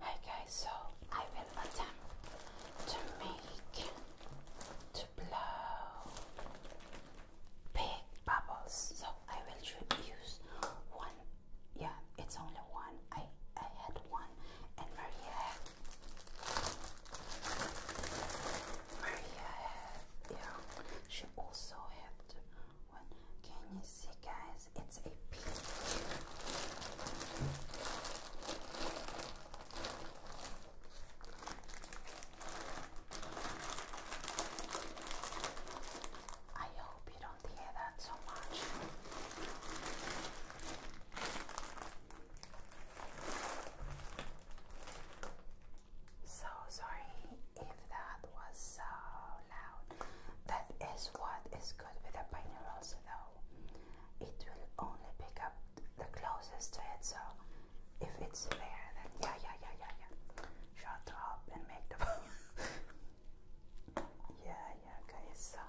Okay, so I will attempt to make to blow big bubbles. So I will use one. Yeah, it's only one. I I had one, and Maria Maria had yeah. She also had one. Can you see, guys? it's a I hope you don't hear that so much. So sorry if that was uh, loud. That is what is good with a binaural though. It will only pick up the closest to it, so if it's there, then yeah, yeah, yeah, yeah, yeah. Shut up and make the Yeah, yeah, guys. So,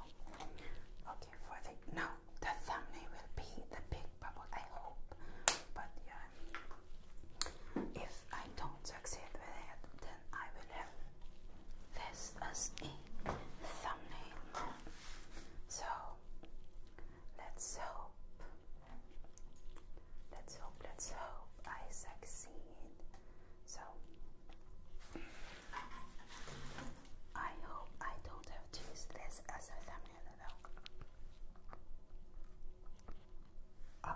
okay, for the now the thumbnail will be the big bubble. I hope, but yeah, if I don't succeed with it, I will have this as a thumbnail. So let's hope, let's hope, let's hope I succeed. So I hope I don't have to use this as a thumbnail though. Uh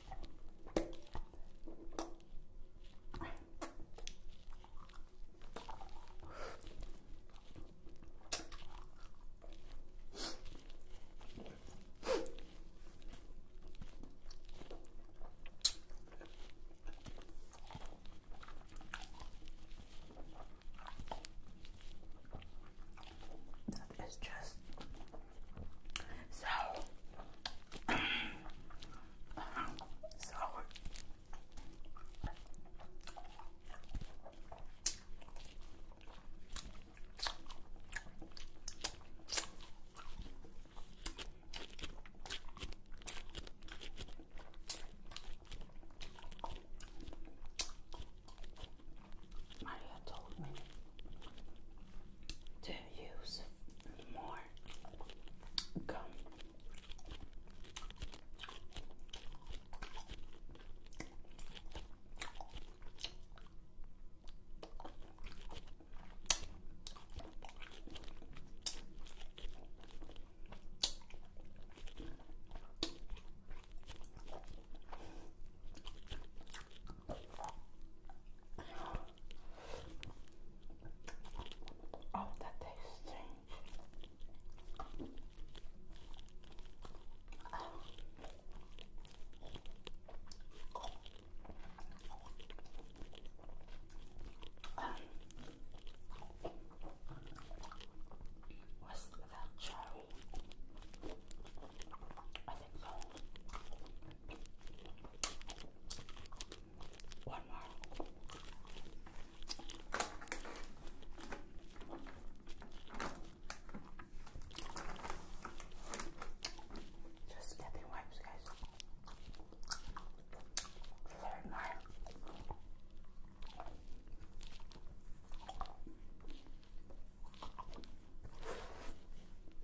That is just so, so Maria told me to use more gum. Oh, that tastes strange. Oh. that cherry? I think so. One more. Just get the wipes, guys. Third night.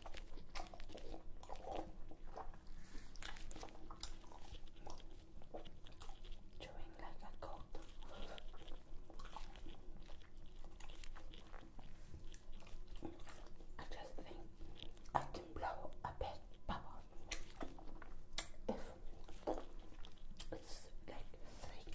Chewing like a goat. I just think I can blow a bit bubble if it's like three.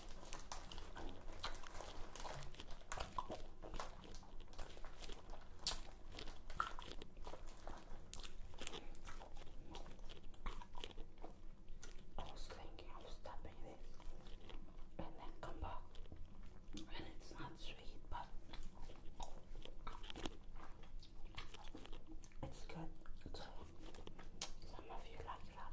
I was thinking of stopping this and then come back. And it's not sweet, but it's good. some of you like that.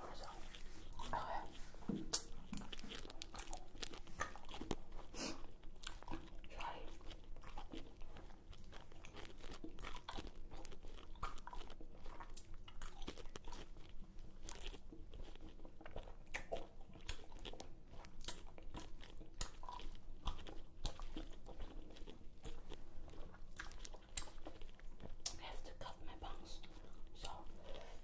Okay. Sorry. I have to cut my bangs, so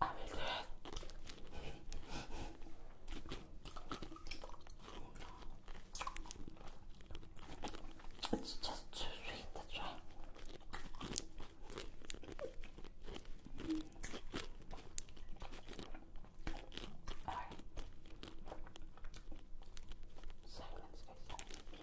I will do it. It's just too sweet, that's right. All right. Silence, guys.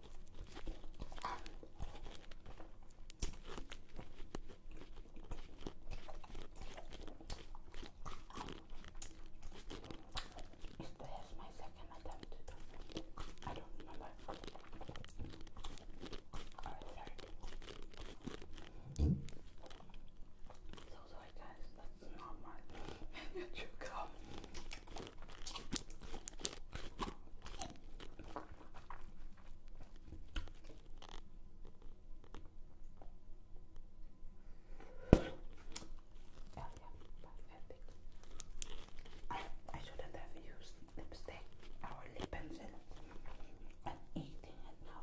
This my second attempt I don't remember. Or so sorry guys, that's not my miniature Oh yeah, I, shouldn't have used lipstick or lip pencil and eating it now.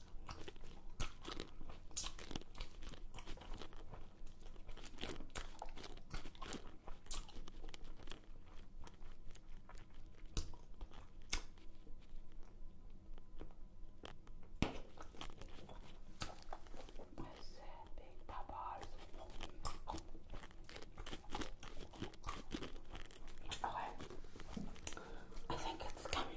big peppers. Okay, oh, I think it's coming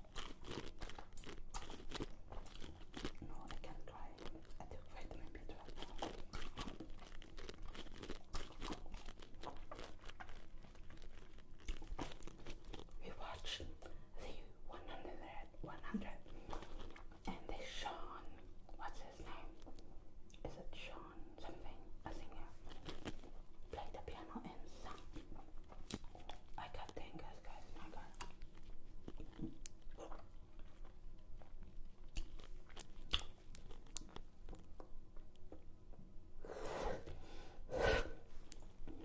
No, I can't try. I took vitamin B12 We watched the 100, and they Sean, what's his name? Is it Sean something? A singer played the piano and sang. I got tangas, guys. My God.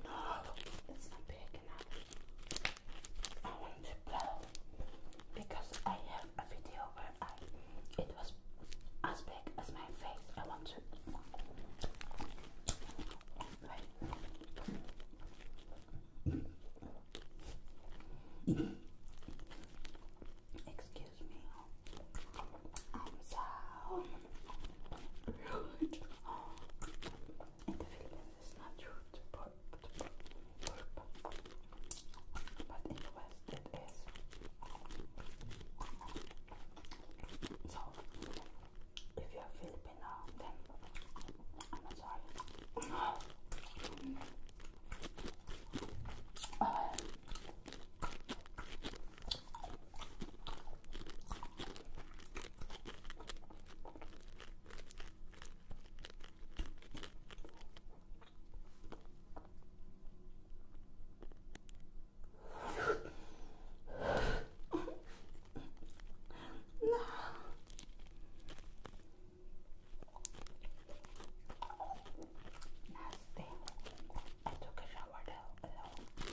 No, it's not big enough. I want to blow because I have a video where I it was as big as my face. I want to. Excuse me. I'm so the Philippines, it's not rude to burp, burp, burp. But in the West, it is. So, if you're Filipino, then I'm sorry. no. Nasty. I took a shower though alone.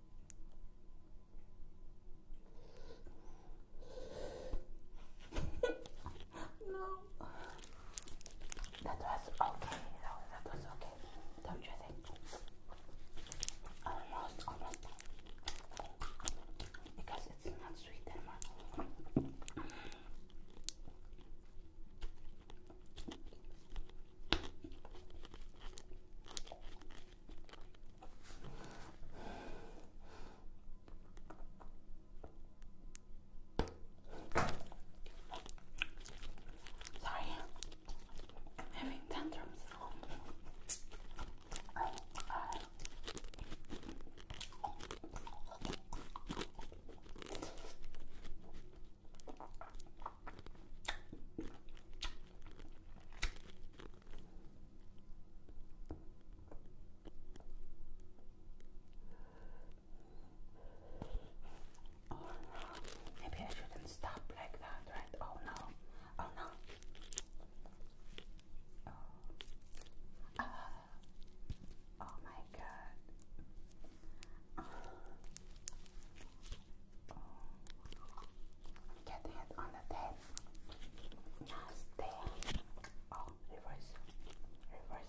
no. That was okay. That was, that was okay. Don't you think? Almost, almost. Because it's not sweet anymore. Sorry, I'm having tantrums. Or maybe I shouldn't stop like that, right? Oh no, oh no. Oh, oh my god. Get hand on the tail. Nice tail. Oh, reverse. Reverse.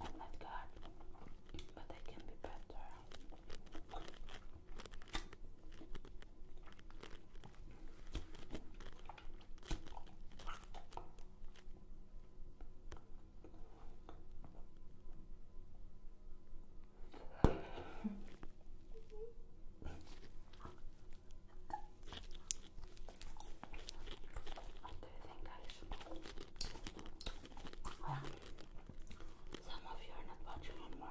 I'm God, but I can be better. Do you think I well, some of you are not watching anymore.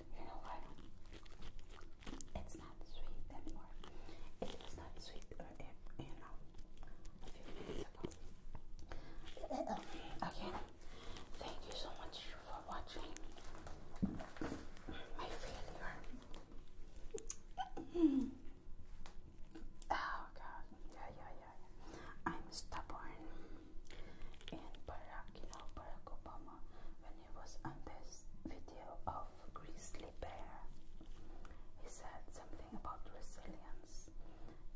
you know what? It's not sweet anymore. It was not sweet, you know, a few minutes ago. Again, thank you so much for watching my failure. oh god, yeah, yeah, yeah. I'm stubborn in Barack, you know, Barack Obama, when he was on this video of Grizzly Bear, he said something about resilience,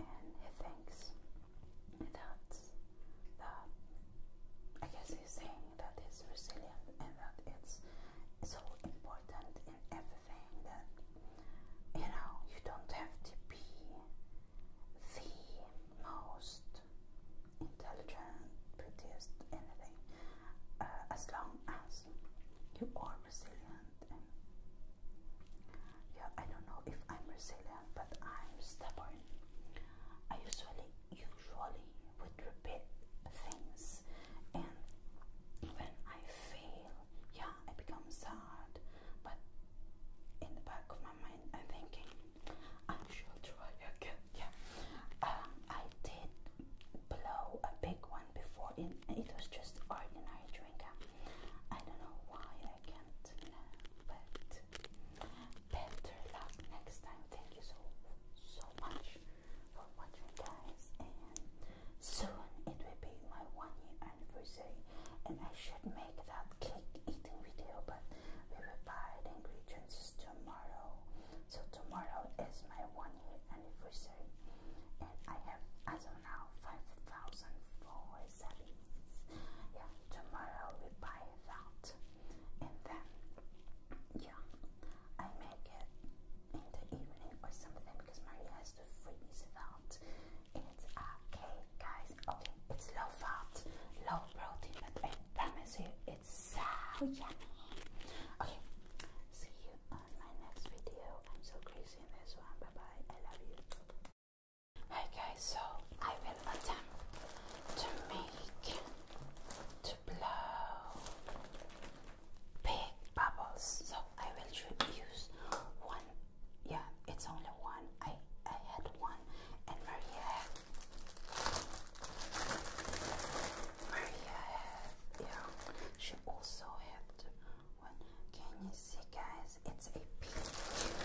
and he thinks that that I guess he's saying that it's resilient and that it's so important in everything that you know you don't have to be the most intelligent, prettiest, anything, uh, as long as you are resilient. And yeah, I don't know if I'm resilient, but I'm stubborn. I usually, usually would repeat things, and when I fail, yeah, I become sad, but in the back of my mind, I'm thinking, I should try again. Yeah, um, I did blow a big one before. It, it was just ordinary drink. Um, I don't know why I can't but better luck next time. Thank you so so much for watching, guys. And soon it will be my one year anniversary, and I should make that cake eating video, but we will buy the ingredients tomorrow. So tomorrow is my one year anniversary, and I have as of now five thousand four savings. Yeah, tomorrow we buy that, and then yeah, I make it in the evening or something because Maria has to freeze that. It's okay, guys. Okay, it's low fat, low protein, but I promise you it's so yummy. Okay, see you on my next video. I'm so crazy in this one. Bye bye. I love you. Hi guys, so I will attempt to make to blow big bubbles. So I will use one yeah, it's only one. I I had one, and Maria had Maria had yeah. She also had one. Can you see, guys? It's a peach.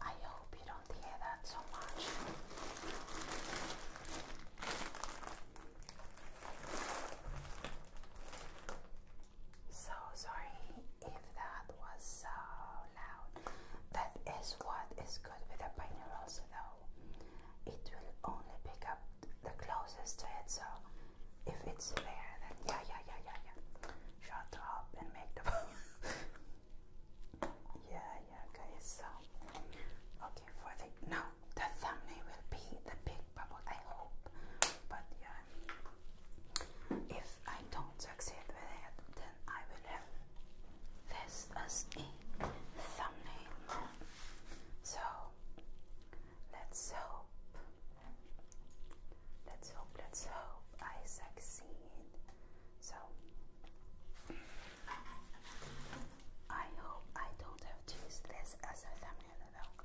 I hope you don't hear that so much. So sorry if that was so loud. That is what is good with a binaural though. It will only pick up the closest to it, so if it's there, then yeah, yeah, yeah, yeah, yeah. Shut up and make the. yeah, Okay, So, okay, for the now the thumbnail will be the big bubble. I hope, but yeah, if I don't succeed with it, then I will have this as a thumbnail. So, let's hope. Let's hope, let's hope I succeed. So, I hope I don't have to use this as a thumbnail though.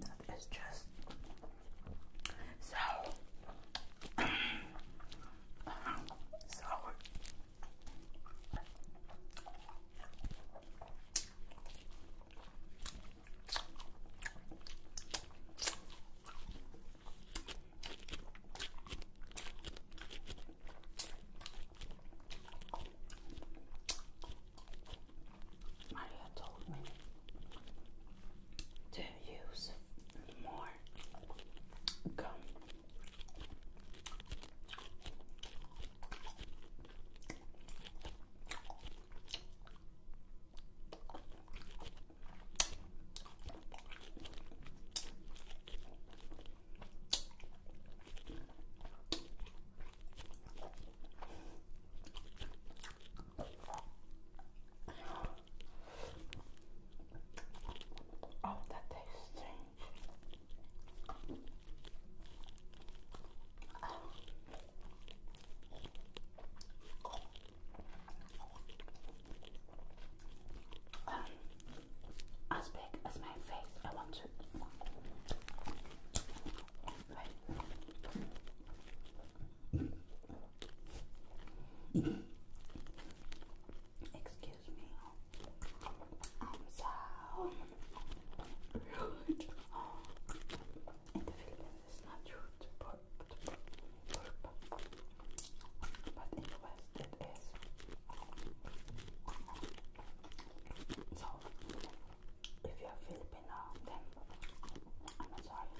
That is just so so Maria told me to use more gum. Oh, that tastes strange. Um, as big as my face. I want to. Excuse me. I'm so rude. the Philippines, it's not rude to but in West, it is. So, if you're Filipino, then I'm sorry.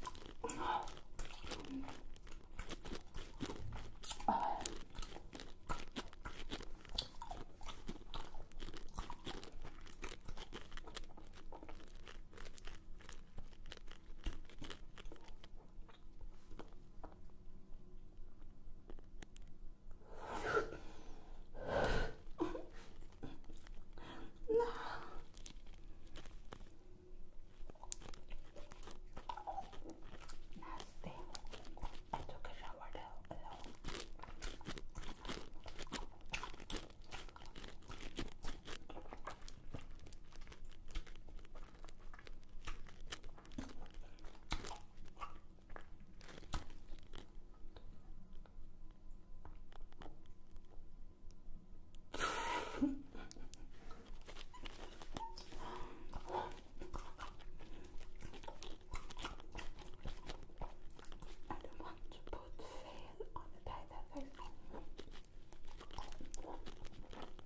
No. Nasty. I took a shower though alone. I don't want to put fail on the pie that face.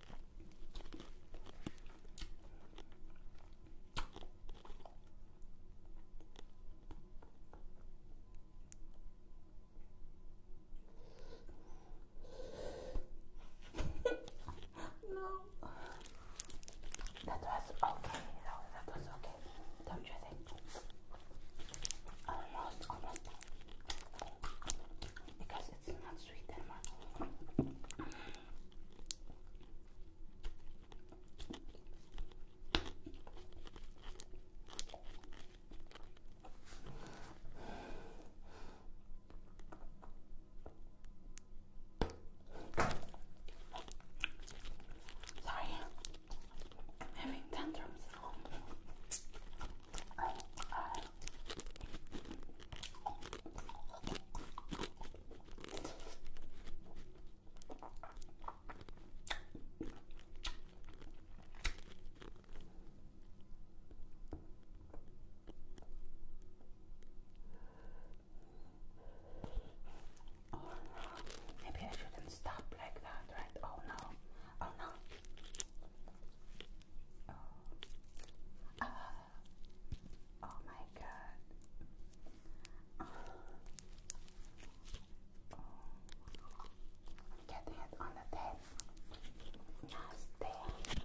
no. That was okay, That was okay. Don't you think? Almost, almost. Because it's not not sweet, Sorry, having tantrums. Oh, uh, Oh, maybe I shouldn't stop like that, right? Oh no, oh no. Oh. Ah. Oh my god. Oh. Oh. on the tail. Nice tail.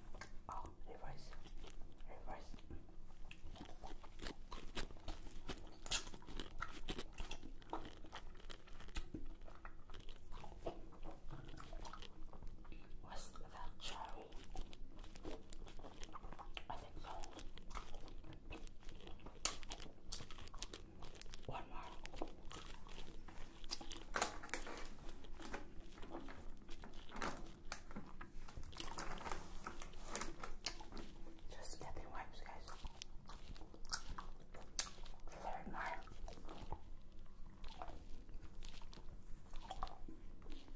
Oh, reverse. Reverse. What's that charm? I think so. One more. Just stepping wipes, guys. Third mile.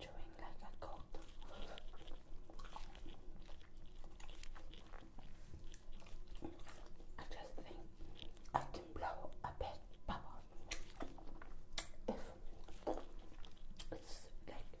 Chewing like a goat. I just think I can blow a big bubble if it's like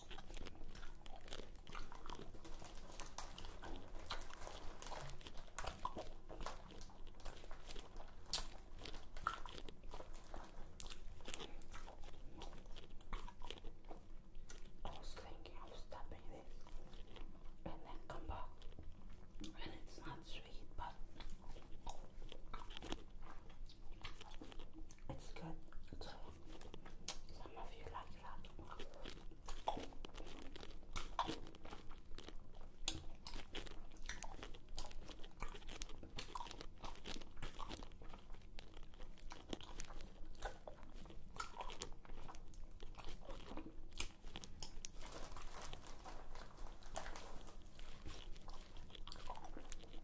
I was thinking of stopping this and then come back. And it's not sweet, but it's good. some of you like that.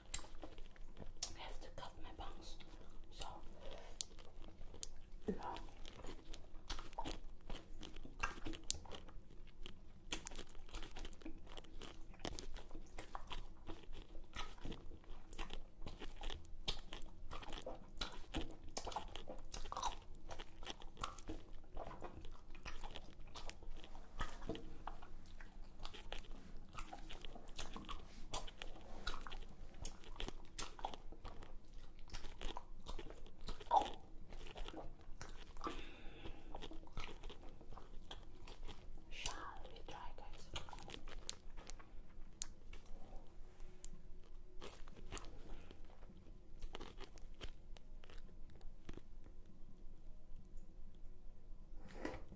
I have to cut my bangs. So, yeah. Shall we try, guys?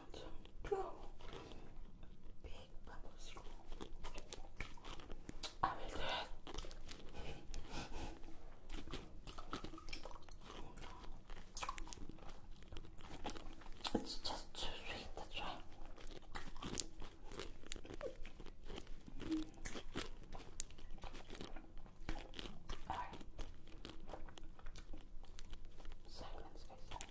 Quantum Pro Big I will do it. It's just too sweet, to try. All right. Silence, guys.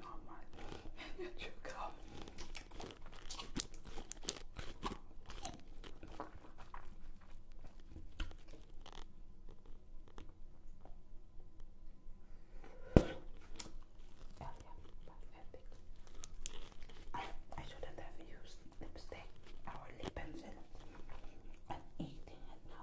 normal oh, miniature I shouldn't have used lipstick or lip pencil. I'm eating it now.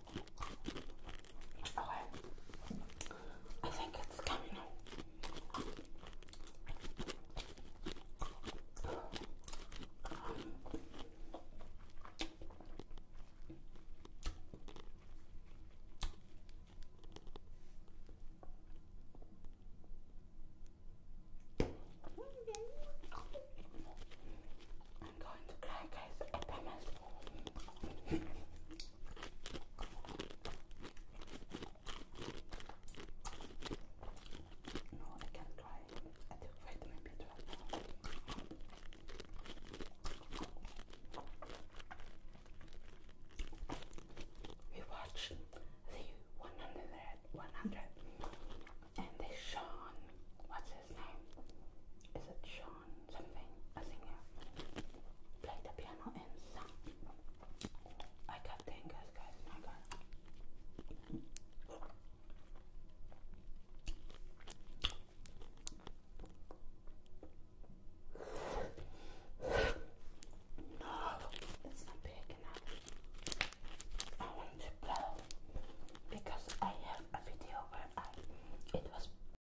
Okay. I think it's coming I'm going to cry, guys. I promise. No, I can't try. I took vitamin B12. We watched the 100, and they Sean, what's his name? Is it Shawn? on something, a singer, played the piano and sing. I got fingers, guys, my god. No, it's not big enough. I want to blow because I have a video where I it was